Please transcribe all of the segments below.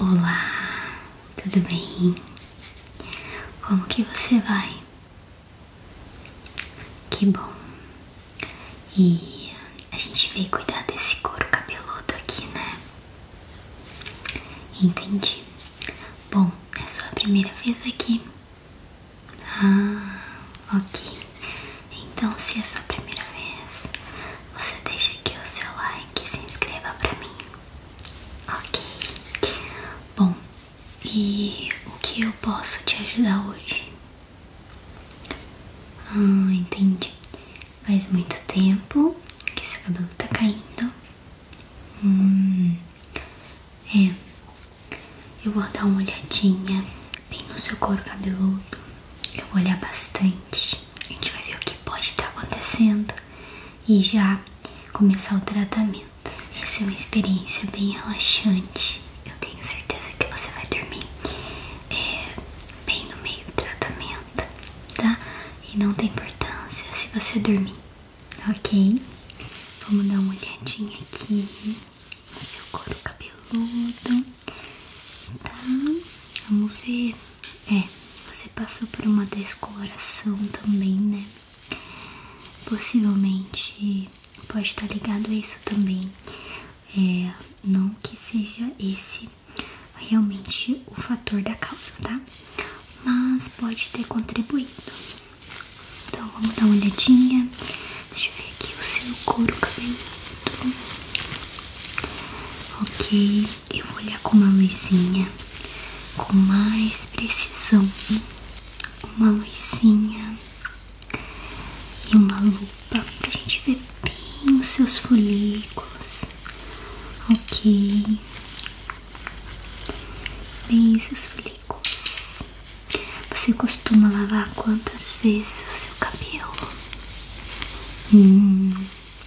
Olá, tudo bem? Como que você vai? Que bom! E a gente veio cuidar desse couro cabeludo aqui, né? Entendi. Bom, é sua primeira vez aqui. Ah, ok. Então, se é sua primeira vez, você deixa aqui o seu like e se inscreva pra mim. Ok. Bom, e o que eu posso te ajudar hoje? Ah, entendi. Faz muito tempo que seu cabelo tá caindo. Hum. É. Eu vou dar uma olhadinha bem no seu couro cabeludo. Eu vou olhar bastante. A gente vai ver o que pode estar tá acontecendo e já começar o tratamento. Essa é uma experiência bem relaxante. Eu tenho certeza que você vai dormir é, bem no meio do tratamento, tá? E não tem importância se você dormir, ok? Vamos dar uma olhadinha aqui no seu couro cabeludo, tá? Vamos ver é, você passou por uma descoloração também, né? Possivelmente pode estar ligado a isso também. É, não que seja esse realmente o fator da calça, tá? Mas pode ter contribuído. Então vamos dar uma olhadinha. Deixa eu ver aqui o seu couro cabeludo. Ok eu vou olhar com uma luzinha com mais precisão. Uma luzinha e uma lupa pra gente ver bem os seus folículos. Ok. Bem seus folículos. Você costuma lavar quantas vezes o seu cabelo? Hum.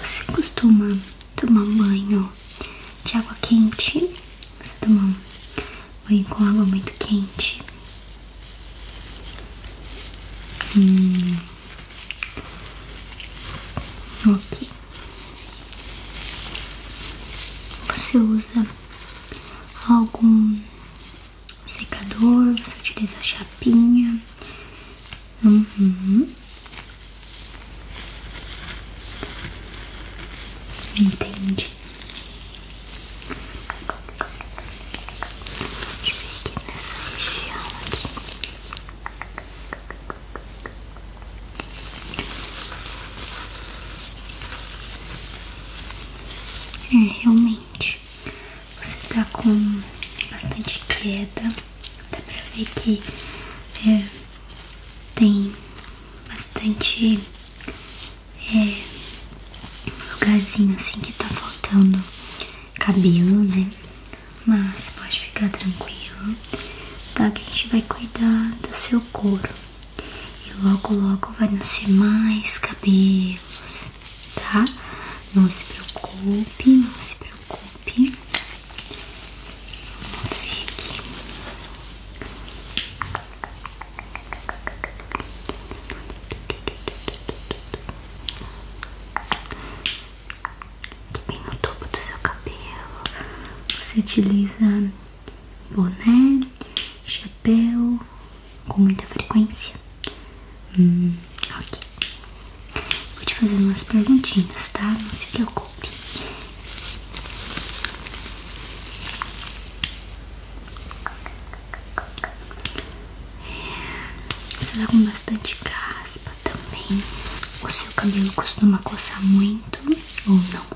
Você costuma tomar banho de água quente? Você toma banho com água muito quente? Hum. Ok. Você usa algum secador, você utiliza chapinha. entende uhum. Entendi. nessa região aqui. É, realmente, você tá com bastante queda, dá pra ver que é, tem bastante é, lugarzinho assim que tá faltando cabelo, né? Mas pode ficar tranquilo, tá? Que a gente vai cuidar do seu couro, e logo logo vai nascer mais cabelos, tá? Não se preocupe, não se preocupe. Vamos ver aqui. Aqui bem no topo do seu cabelo, você utiliza boné, chapéu chapéu com muita frequência? Hum, ok. Vou te fazer umas perguntinhas, tá? Não se preocupe. É, você tá com bastante caspa também. O seu cabelo costuma coçar muito ou não?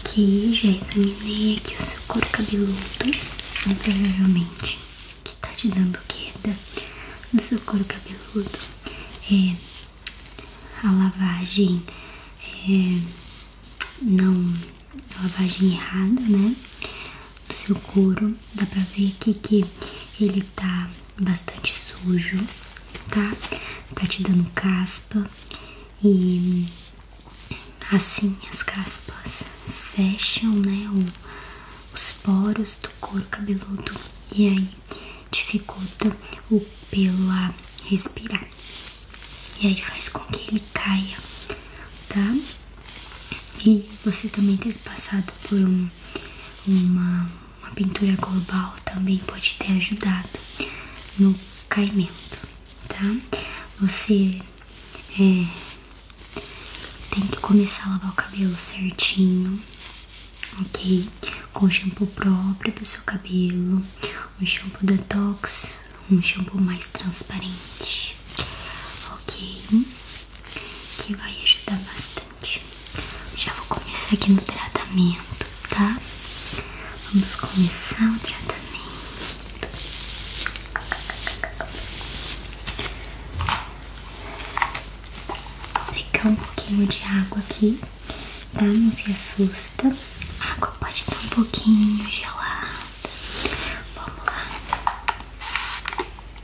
Ok, já examinei aqui o seu couro cabeludo, né, provavelmente que tá te dando queda no seu couro cabeludo. É, a lavagem é, não, lavagem errada, né? do seu couro. Dá pra ver aqui que ele tá bastante sujo, tá? Tá te dando caspa e assim as caspas fecham, né? os poros do couro cabeludo e aí dificulta o pelo a respirar. E aí faz com que ele caia, tá? E você também ter passado por uma, uma pintura global também pode ter ajudado no caimento, tá? Você é, tem que começar a lavar o cabelo certinho, ok? Com shampoo próprio para o seu cabelo, um shampoo detox, um shampoo mais transparente, ok? que vai ajudar bastante. Já vou começar aqui no tratamento, tá? Vamos começar o tratamento. Vou Pegar um pouquinho de água aqui, tá? Não se assusta. água pode estar um pouquinho gelada. Vamos lá.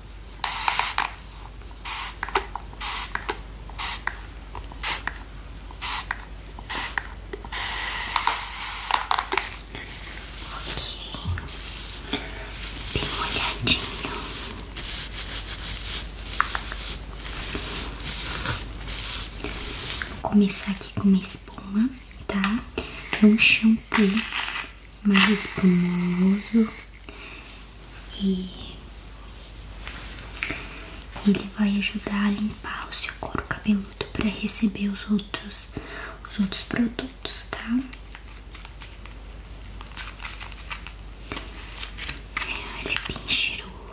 Ok, bem molhadinho. Vou começar aqui com uma espuma, tá? É um shampoo mais espumoso e ele vai ajudar a limpar o seu couro cabeludo para receber os outros os outros produtos, tá? É, ele é bem cheiroso.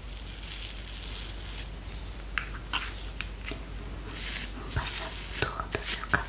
Vamos passar todo o seu cabelo.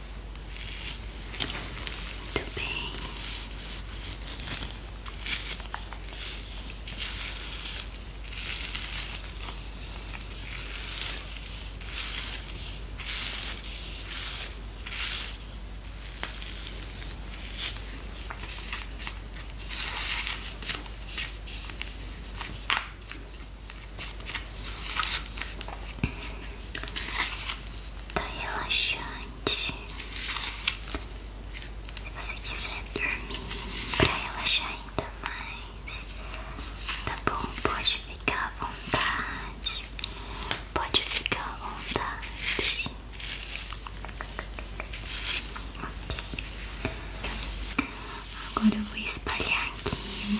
Muito bem. Tá relaxante. Se você quiser dormir para relaxar ainda mais, tá bom? Pode ficar à vontade. Pode ficar à vontade. Ok. Agora eu vou espalhar aqui.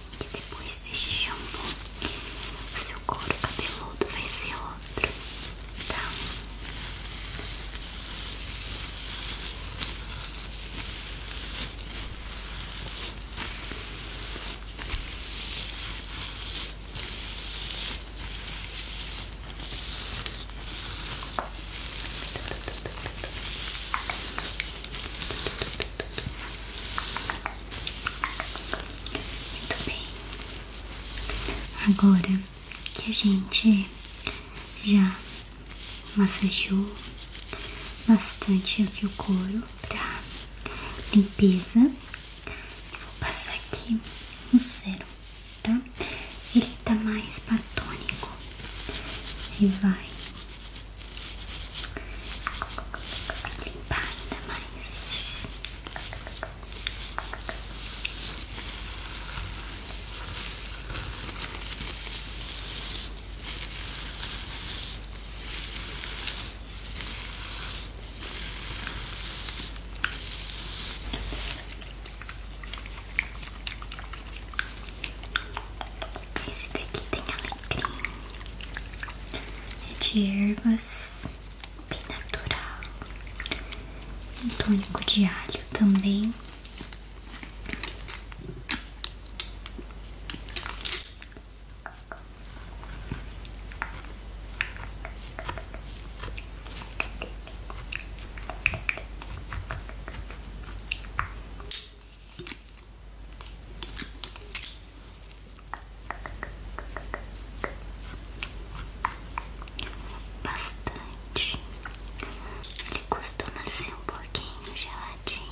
que depois deste shampoo o seu corpo cabeludo vai ser outro, Tá, muito bem. Agora que a gente já massageou bastante aqui o couro para limpeza, vou passar aqui no sérum, tá? Ele está mais platônico ele vai limpar ainda mais. Esse daqui tem cream é de ervas, bem natural. Um tônico de alho também. Bastante. Ele costuma ser um pouquinho geladinho.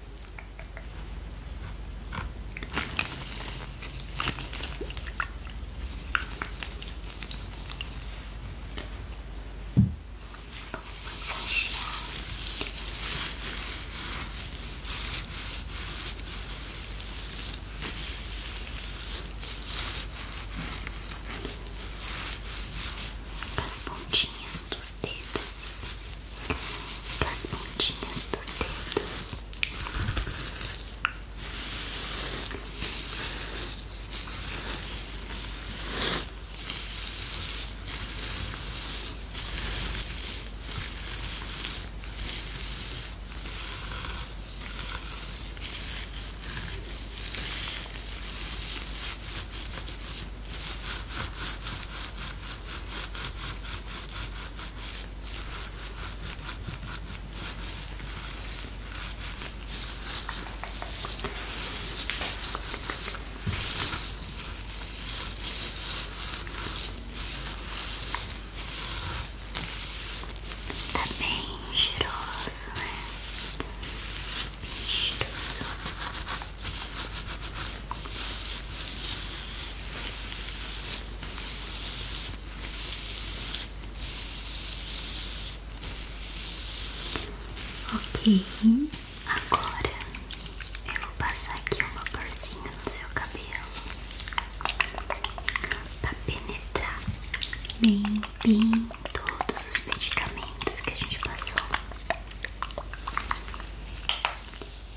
as pontinhas dos dedos das pontinhas dos dedos. Muito Tá bem cheiroso, né? cheiroso. Ok, agora eu vou passar aqui uma porzinha no seu cabelo para penetrar bem, bem todos os medicamentos que a gente passou.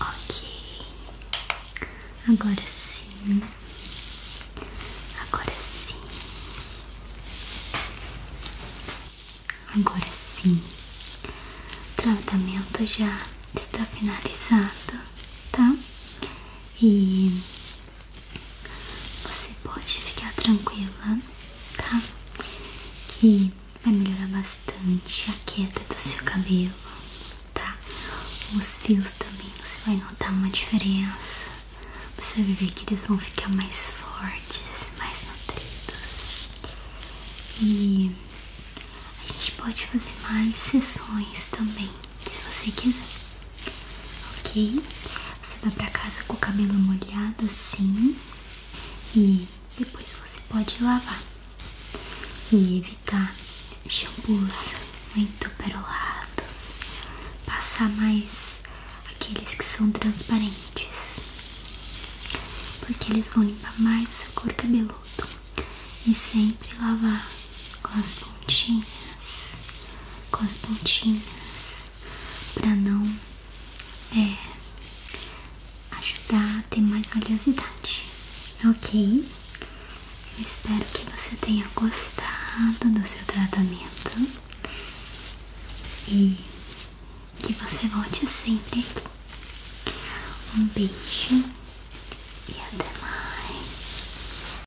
Ok, agora sim, agora sim, agora sim, tratamento já está finalizado, tá? E você pode ficar tranquila, tá? Que vai melhorar bastante a queda do seu cabelo, tá? Os fios também, você vai notar uma diferença. Você vai ver que eles vão ficar mais fortes, mais nutridos. E a gente pode fazer mais sessões também se você quiser, ok? Você vai pra casa com o cabelo molhado assim e depois você pode lavar e evitar shampoos muito perolados, passar mais aqueles que são transparentes, porque eles vão limpar mais o seu couro cabeludo e sempre lavar com as pontinhas com as pontinhas para não é, ajudar a ter mais oleosidade, ok? Eu espero que você tenha gostado do seu tratamento e que você volte sempre aqui. Um beijo e até mais.